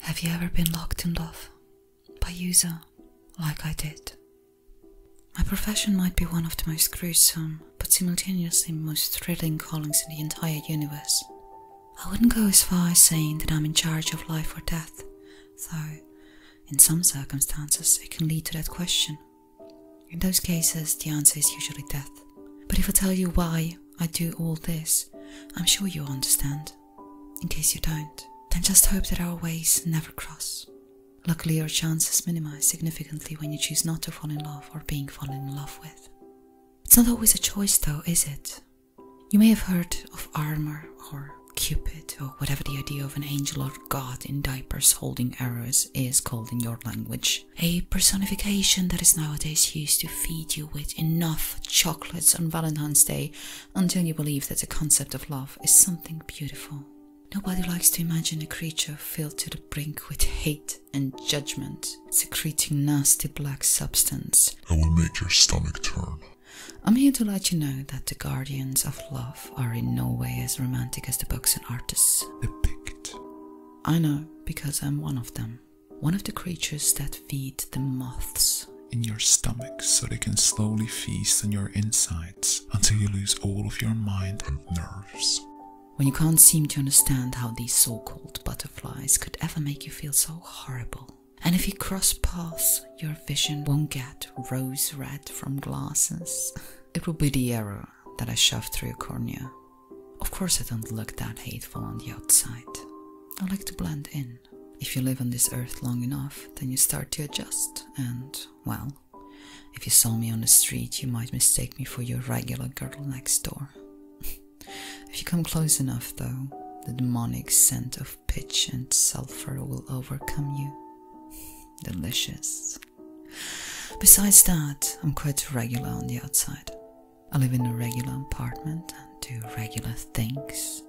Have you ever been locked in love by user like I did? My profession might be one of the most gruesome, but simultaneously most thrilling callings in the entire universe. I wouldn't go as far as saying that I'm in charge of life or death, though, in some circumstances, it can lead to that question. In those cases, the answer is usually death. But if I tell you why I do all this, I'm sure you understand. In case you don't, then just hope that our ways never cross. Luckily, your chances minimize significantly when you choose not to fall in love or being fallen in love with. It's not always a choice, though, is it? You may have heard of armor or Cupid or whatever the idea of an angel or god in diapers holding arrows is called in your language. A personification that is nowadays used to feed you with enough chocolates on Valentine's Day until you believe that the concept of love is something beautiful. Nobody likes to imagine a creature filled to the brink with hate and judgment, secreting nasty black substance. I will make your stomach turn. I'm here to let you know that the guardians of love are in no way as romantic as the books and artists depict. I know, because I'm one of them. One of the creatures that feed the moths in your stomach so they can slowly feast on your insides until you lose all of your mind and nerves. When you can't seem to understand how these so called butterflies could ever make you feel so horrible. And if you cross paths, your vision won't get rose red from glasses. it will be the error that I shoved through your cornea. Of course, I don't look that hateful on the outside. I like to blend in. If you live on this earth long enough, then you start to adjust, and, well, if you saw me on the street, you might mistake me for your regular girl next door. if you come close enough, though, the demonic scent of pitch and sulfur will overcome you. Delicious. Besides that, I'm quite regular on the outside. I live in a regular apartment and do regular things.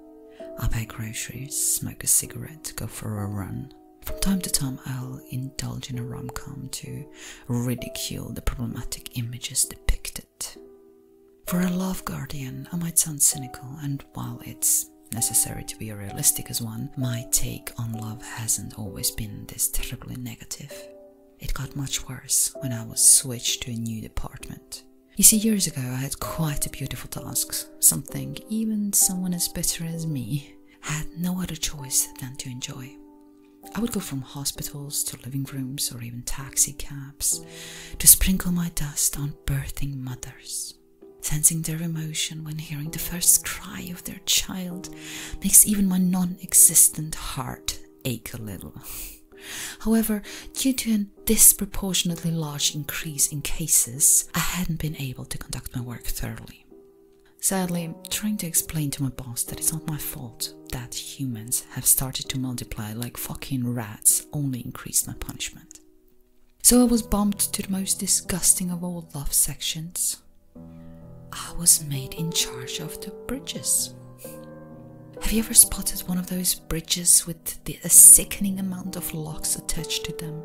I buy groceries, smoke a cigarette, go for a run. From time to time, I'll indulge in a rom com to ridicule the problematic images depicted. For a love guardian, I might sound cynical, and while it's necessary to be a realistic as one, my take on love hasn't always been this terribly negative. It got much worse when I was switched to a new department. You see, years ago I had quite a beautiful task, something even someone as bitter as me had no other choice than to enjoy. I would go from hospitals to living rooms or even taxi cabs to sprinkle my dust on birthing mothers. Sensing their emotion when hearing the first cry of their child makes even my non existent heart ache a little. However, due to an disproportionately large increase in cases, I hadn't been able to conduct my work thoroughly. Sadly, trying to explain to my boss that it's not my fault that humans have started to multiply like fucking rats only increased my punishment. So I was bumped to the most disgusting of all love sections. I was made in charge of the bridges. Have you ever spotted one of those bridges with the, sickening amount of locks attached to them?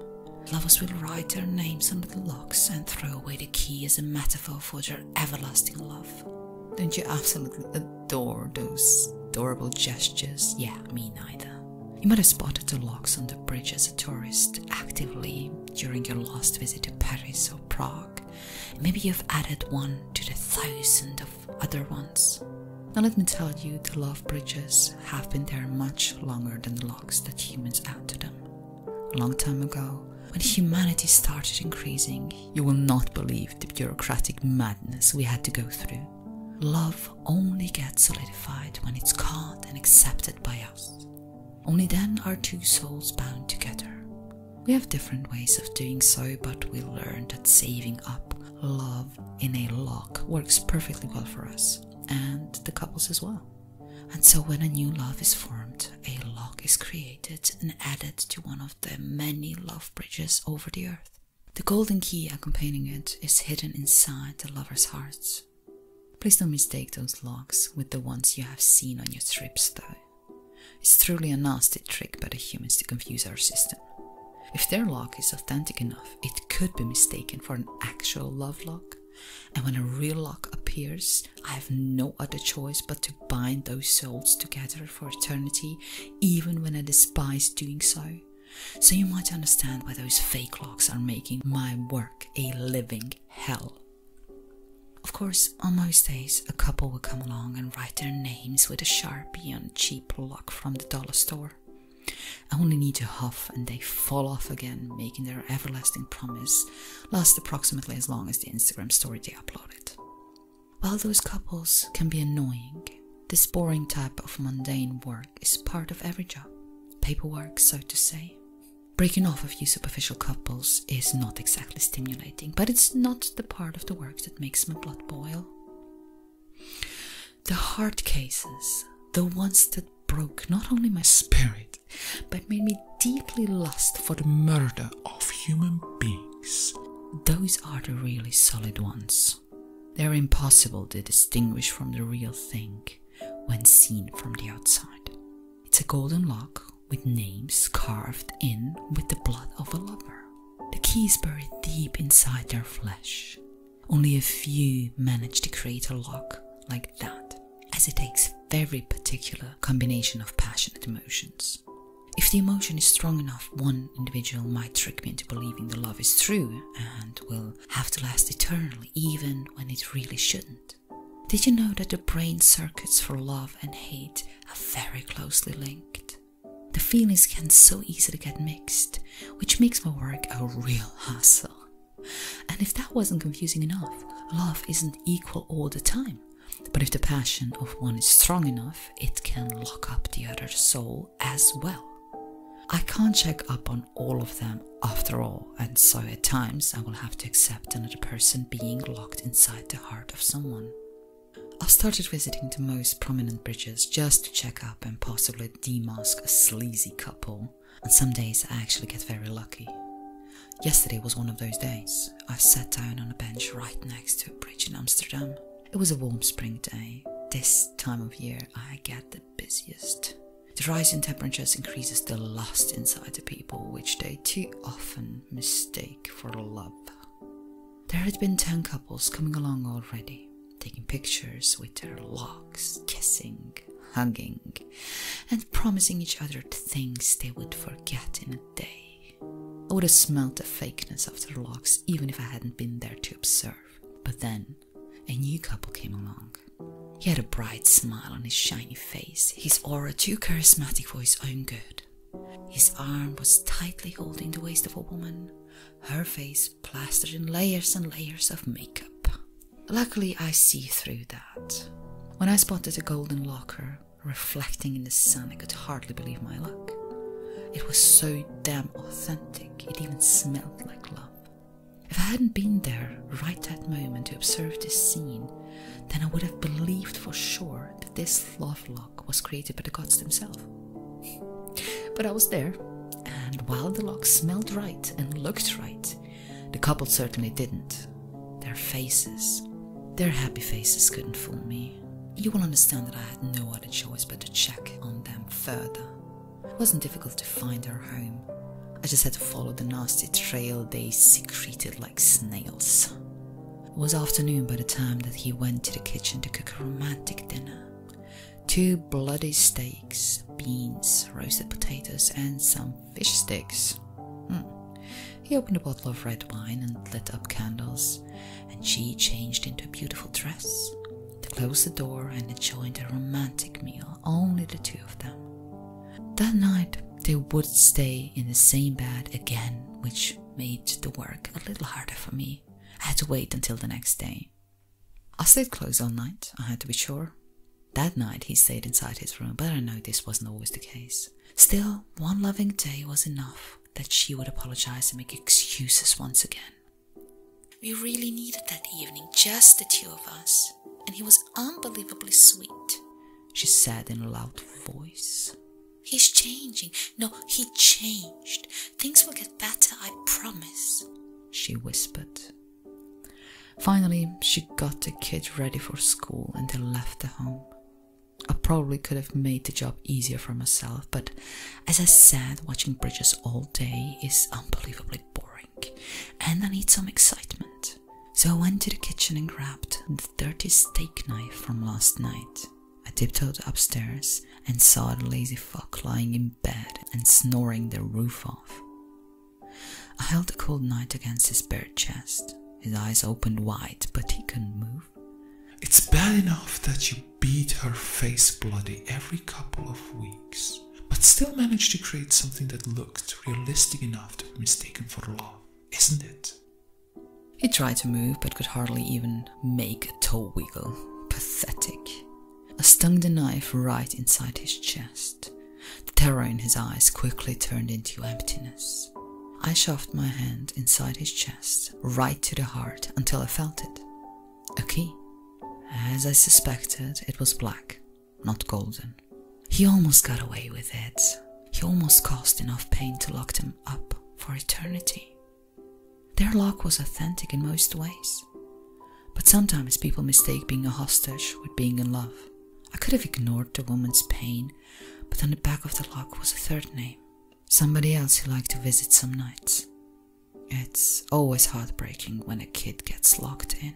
Lovers will write their names under the locks and throw away the key as a metaphor for their everlasting love. Don't you absolutely adore those adorable gestures? Yeah, me neither. You might have spotted the locks on the bridge as a tourist actively during your last visit to Paris or Prague Maybe you've added one to the thousand of other ones. Now, let me tell you, the love bridges have been there much longer than the locks that humans add to them. A long time ago, when humanity started increasing, you will not believe the bureaucratic madness we had to go through. Love only gets solidified when it's caught and accepted by us. Only then are two souls bound together. We have different ways of doing so, but we learned that saving up love in a lock works perfectly well for us and the couples as well. And so, when a new love is formed, a lock is created and added to one of the many love bridges over the earth. The golden key accompanying it is hidden inside the lover's hearts. Please don't mistake those locks with the ones you have seen on your trips, though. It's truly a nasty trick by the humans to confuse our system. If their lock is authentic enough, it could be mistaken for an actual love lock, and when a real lock appears, I have no other choice but to bind those souls together for eternity, even when I despise doing so. So you might understand why those fake locks are making my work a living hell. Of course, on most days, a couple will come along and write their names with a sharpie and cheap lock from the dollar store. I only need to huff and they fall off again, making their everlasting promise last approximately as long as the Instagram story they uploaded. While those couples can be annoying, this boring type of mundane work is part of every job, paperwork, so to say. Breaking off a few superficial couples is not exactly stimulating but it's not the part of the work that makes my blood boil. The hard cases, the ones that broke not only my spirit, but made me deeply lust for the murder of human beings, those are the really solid ones. They're impossible to distinguish from the real thing when seen from the outside. It's a golden lock with names carved in with the blood of a lover. The key is buried deep inside their flesh. Only a few manage to create a lock like that, as it takes very particular combination of passionate emotions. If the emotion is strong enough, one individual might trick me into believing the love is true and will have to last eternally, even when it really shouldn't. Did you know that the brain circuits for love and hate are very closely linked? The feelings can so easily get mixed, which makes my work a real hassle. And if that wasn't confusing enough, love isn't equal all the time. But if the passion of one is strong enough, it can lock up the other soul as well. I can't check up on all of them after all, and so at times I will have to accept another person being locked inside the heart of someone. I started visiting the most prominent bridges just to check up and possibly demask a sleazy couple, and some days I actually get very lucky. Yesterday was one of those days. I sat down on a bench right next to a bridge in Amsterdam. It was a warm spring day. This time of year, I get the busiest. The rise in temperatures increases the lust inside the people, which they too often mistake for love. There had been ten couples coming along already, taking pictures with their locks, kissing, hugging, and promising each other things they would forget in a day. I would have smelled the fakeness of their locks even if I hadn't been there to observe. But then, a new couple came along. He had a bright smile on his shiny face, his aura too charismatic for his own good. His arm was tightly holding the waist of a woman, her face plastered in layers and layers of makeup. Luckily, I see through that. When I spotted a golden locker reflecting in the sun, I could hardly believe my luck. It was so damn authentic, it even smelled like love. If I hadn't been there right that moment to observe this scene, then I would have believed for sure that this love lock was created by the gods themselves. but I was there, and while the lock smelled right and looked right, the couple certainly didn't. Their faces, their happy faces, couldn't fool me. You will understand that I had no other choice but to check on them further. It wasn't difficult to find their home. I just had to follow the nasty trail they secreted like snails. It was afternoon by the time that he went to the kitchen to cook a romantic dinner. Two bloody steaks, beans, roasted potatoes, and some fish sticks. Hmm. He opened a bottle of red wine and lit up candles, and she changed into a beautiful dress. They closed the door and enjoyed the romantic meal, only the two of them. That night they would stay in the same bed again, which made the work a little harder for me. I had to wait until the next day. I stayed close all night, I had to be sure. That night he stayed inside his room, but I know this wasn't always the case. Still, one loving day was enough that she would apologize and make excuses once again. We really needed that evening, just the two of us, and he was unbelievably sweet she said in a loud voice. He's changing. No, he changed. Things will get better, I promise, she whispered. Finally, she got the kid ready for school and they left the home. I probably could have made the job easier for myself, but as I said, watching bridges all day is unbelievably boring, and I need some excitement so I went to the kitchen and grabbed the dirty steak knife from last night. I tiptoed upstairs and saw the lazy fuck lying in bed and snoring the roof off. I held the cold knife against his bare chest. His eyes opened wide, but he couldn't move. It's bad enough that you beat her face bloody every couple of weeks, but still managed to create something that looked realistic enough to be mistaken for love, isn't it? He tried to move but could hardly even make a toe wiggle. Pathetic. I stung the knife right inside his chest. The terror in his eyes quickly turned into emptiness. I shoved my hand inside his chest, right to the heart, until I felt it. A key. As I suspected, it was black, not golden. He almost got away with it. He almost caused enough pain to lock them up for eternity. Their lock was authentic in most ways. But sometimes people mistake being a hostage with being in love. I could have ignored the woman's pain, but on the back of the lock was a third name. Somebody else he liked to visit some nights. It's always heartbreaking when a kid gets locked in.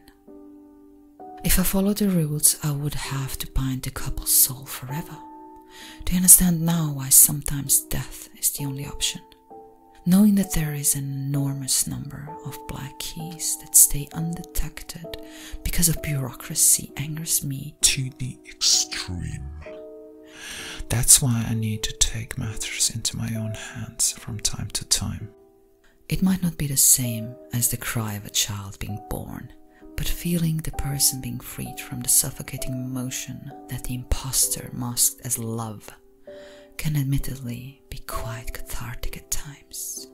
If I follow the rules, I would have to bind the couple's soul forever. Do you understand now why sometimes death is the only option? Knowing that there is an enormous number of black keys that stay undetected because of bureaucracy angers me to the extreme. That's why I need to take matters into my own hands from time to time. It might not be the same as the cry of a child being born, but feeling the person being freed from the suffocating emotion that the impostor masked as love can admittedly be quite cathartic at times.